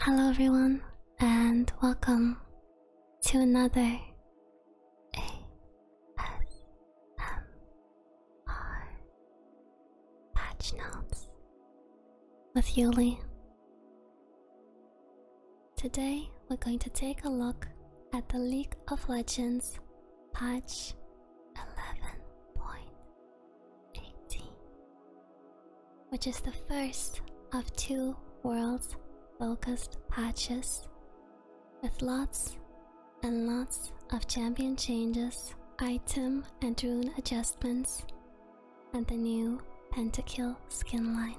Hello, everyone, and welcome to another ASMR Patch Notes with Yuli. Today, we're going to take a look at the League of Legends patch 11.1 which is the first of two worlds focused patches with lots and lots of champion changes, item and rune adjustments, and the new Pentakill skin line.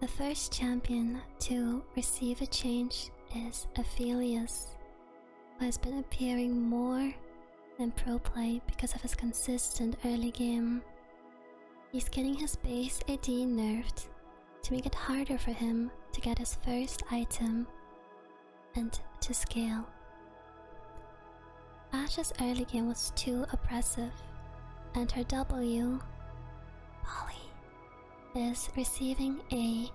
The first champion to receive a change is Aphelius, who has been appearing more and pro play because of his consistent early game. He's getting his base AD nerfed to make it harder for him to get his first item and to scale. Ash's early game was too oppressive, and her W, Polly, is receiving a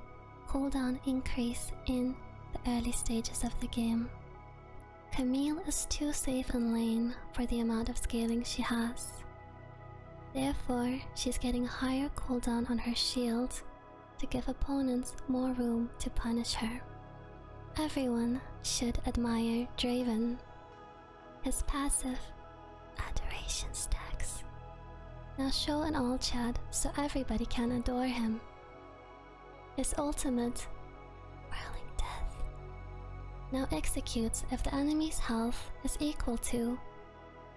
cooldown increase in the early stages of the game. Camille is too safe and lane for the amount of scaling she has. Therefore, she's getting a higher cooldown on her shield to give opponents more room to punish her. Everyone should admire Draven. His passive adoration stacks. Now show an all Chad, so everybody can adore him. His ultimate, Whirling Death, now executes if the enemy's health is equal to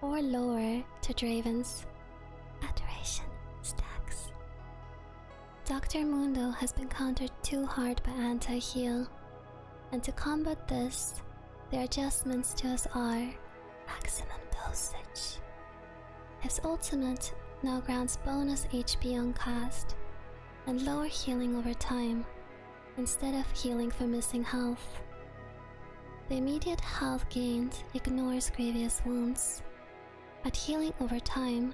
or lower to Draven's. Adoration stacks. Dr. Mundo has been countered too hard by anti heal, and to combat this, the adjustments to us are maximum dosage. His ultimate now grants bonus HP on cast and lower healing over time instead of healing for missing health. The immediate health gain ignores grievous wounds, but healing over time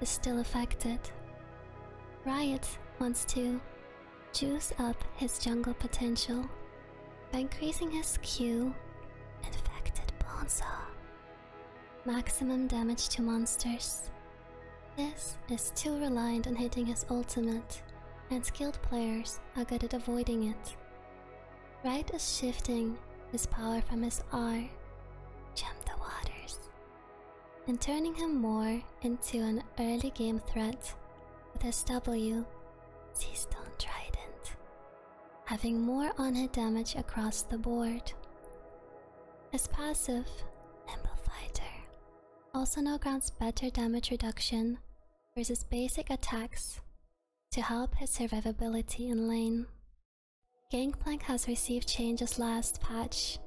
is still affected. Riot wants to juice up his jungle potential by increasing his Q, Infected Bonza. Maximum damage to monsters. This is too reliant on hitting his ultimate, and skilled players are good at avoiding it. Right is shifting his power from his R, jump the waters, and turning him more into an early game threat with his W, Sea Stone Trident, having more on hit damage across the board. As passive, Amplifier also now grants better damage reduction versus basic attacks to help his survivability in lane. Gangplank has received changes last patch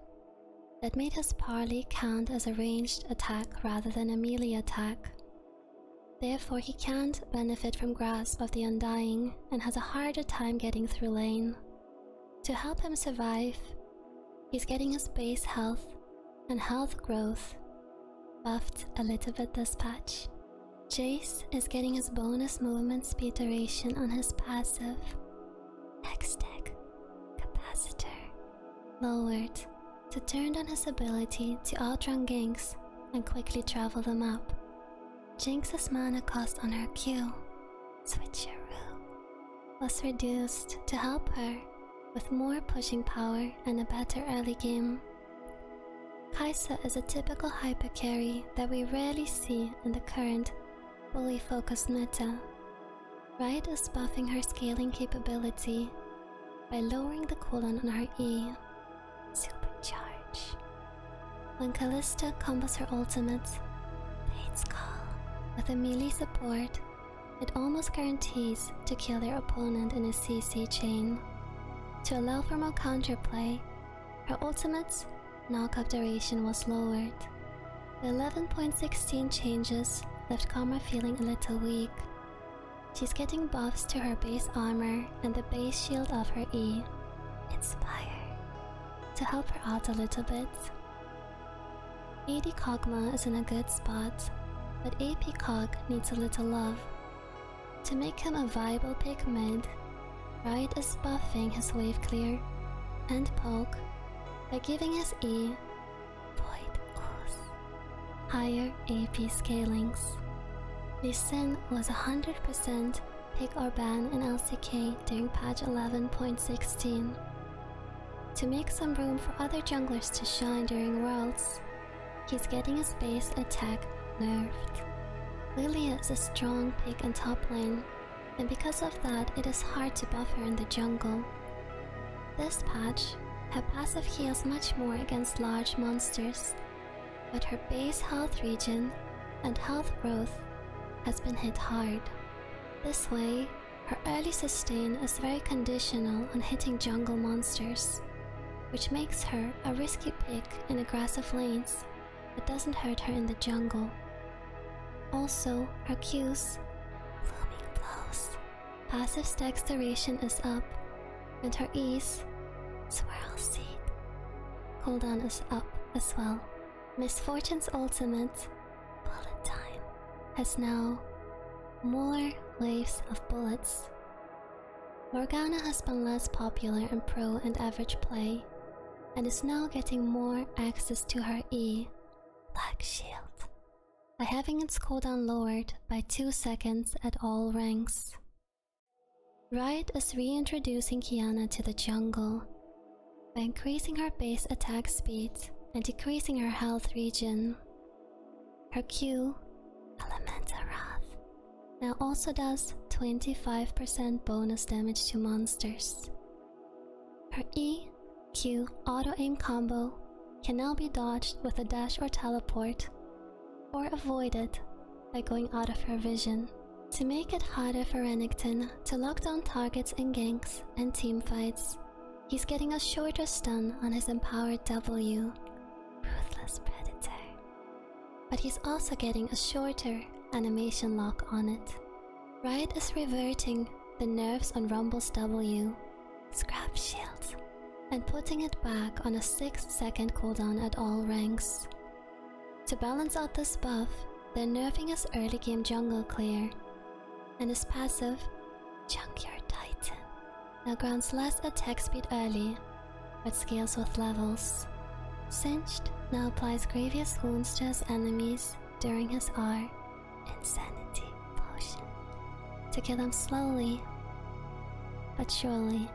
that made his parley count as a ranged attack rather than a melee attack. Therefore, he can't benefit from Grasp of the Undying and has a harder time getting through lane. To help him survive, he's getting his base health and health growth buffed a little bit this patch. Jace is getting his bonus movement speed duration on his passive. Hextech Capacitor lowered to turn on his ability to outrun ganks and quickly travel them up. Jinx's mana cost on her Q, Switcheroo, was reduced to help her with more pushing power and a better early game. Kaisa is a typical hyper carry that we rarely see in the current fully focused meta. Riot is buffing her scaling capability by lowering the cooldown on her E, supercharge, when Callista combos her ultimates, Fate's Call, with a support, it almost guarantees to kill their opponent in a CC chain. To allow for more counterplay, her ultimate's knockup duration was lowered. The 11.16 changes left Karma feeling a little weak. She's getting buffs to her base armor and the base shield of her E. Inspire to help her out a little bit. AD Kogma is in a good spot, but AP Cog needs a little love. To make him a viable pigment. Right Riot is buffing his wave clear and poke by giving his E Void Ooze higher AP scalings. This Sin was 100% Pick or ban in LCK during patch 11.16. To make some room for other junglers to shine during Worlds, he's getting his base attack nerfed. Lilia is a strong pick in top lane, and because of that, it is hard to buff her in the jungle. This patch, her passive heals much more against large monsters, but her base health region and health growth has been hit hard. This way, her early sustain is very conditional on hitting jungle monsters, which makes her a risky pick in aggressive lanes but doesn't hurt her in the jungle. Also, her Q's, Blooming Blows, passive dex duration is up, and her E's, Swirl Seed, cooldown is up as well. Misfortune's ultimate, bullet time, has now more waves of bullets. Morgana has been less popular in pro and average play, and is now getting more access to her E, Black Shield, by having its cooldown lowered by 2 seconds at all ranks. Riot is reintroducing Kiana to the jungle by increasing her base attack speed and decreasing her health region. Her Q, Elemental Wrath, now also does 25% bonus damage to monsters. Her E, Q auto aim combo can now be dodged with a dash or teleport, or avoided by going out of her vision to make it harder for Renekton to lock down targets in ganks and teamfights. He's getting a shorter stun on his empowered W, Ruthless Predator. But he's also getting a shorter animation lock on it. Riot is reverting the nerves on Rumble's W, Scrap Shield, and putting it back on a 6 second cooldown at all ranks. To balance out this buff, they're nerfing is early game jungle clear, and his passive, Junkyard Titan, now grants less attack speed early, but scales with levels. Cinched now applies grievous wounds to his enemies during his R Insanity Potion to kill them slowly but surely.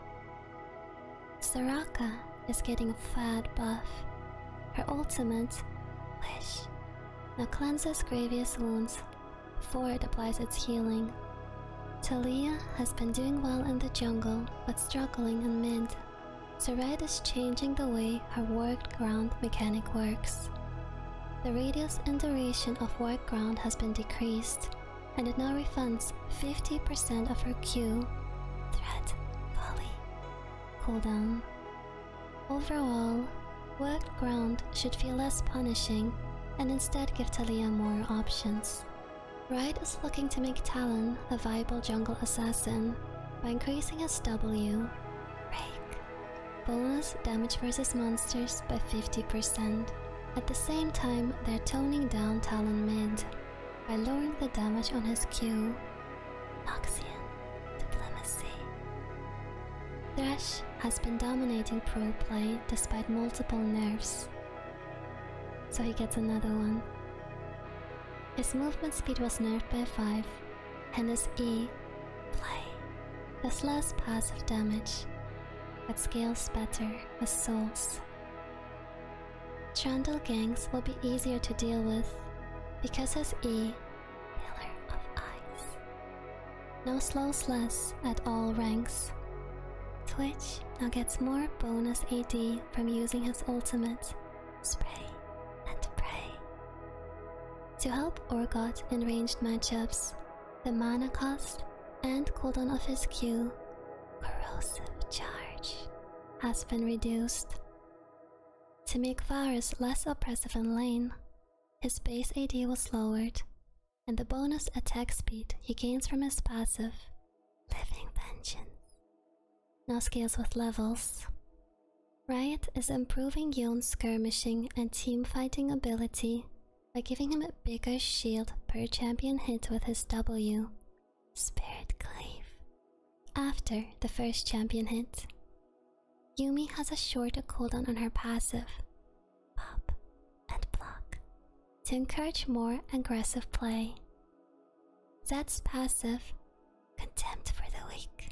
Saraka is getting a fad buff. Her ultimate, Wish, now cleanses grievous wounds. before it applies its healing. Talia has been doing well in the jungle but struggling in mid. Zoret is changing the way her work ground mechanic works. The radius and duration of work ground has been decreased, and it now refunds 50% of her Q. Threat volley cool down. Overall, worked ground should feel less punishing and instead give Talon more options. Riot is looking to make Talon a viable jungle assassin by increasing his W break. Bonus damage versus monsters by 50%. At the same time, they're toning down Talon mid, by lowering the damage on his Q, Noxian Diplomacy. Thresh has been dominating pro play despite multiple nerfs, so he gets another one. His movement speed was nerfed by 5, and his E, Play, has less passive damage, but scales better with souls. Trundle gangs will be easier to deal with because his E, Pillar of Ice. No slow sless at all ranks. Twitch now gets more bonus AD from using his ultimate, Spray and Pray. To help Orgot in ranged matchups, the mana cost and cooldown of his Q, Corrosive Charge, has been reduced. To make Varus less oppressive in lane, his base AD was lowered, and the bonus attack speed he gains from his passive, Living Vengeance, now scales with levels. Riot is improving Yon's skirmishing and team-fighting ability by giving him a bigger shield per champion hit with his W Spirit Cleave. After the first champion hit, Yumi has a shorter cooldown on her passive, pop and block, to encourage more aggressive play. Zed's passive, Contempt for the Weak,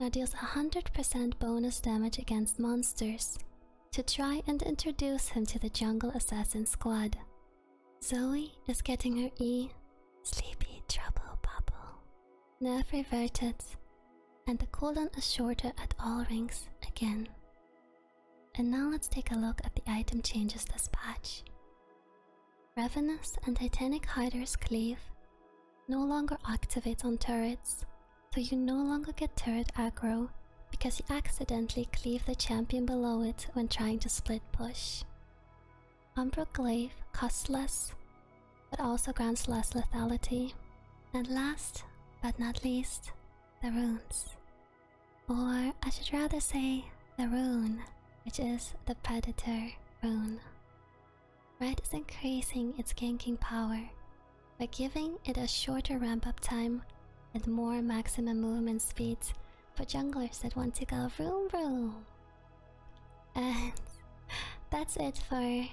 now deals 100% bonus damage against monsters to try and introduce him to the jungle assassin squad. Zoe is getting her E sleepy trouble bubble nerve reverted, and the colon is shorter at all rings again. And now let's take a look at the item changes this patch. Ravenous and Titanic Hider's Cleave no longer activate on turrets, so you no longer get turret aggro because you accidentally cleave the champion below it when trying to split push. Umbroglaive costs less, but also grants less lethality. And last but not least, the runes. Or I should rather say the rune, which is the Predator rune. Red is increasing its ganking power by giving it a shorter ramp up time and more maximum movement speeds for junglers that want to go room, room. And that's it for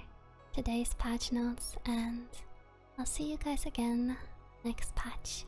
today's patch notes, and I'll see you guys again next patch.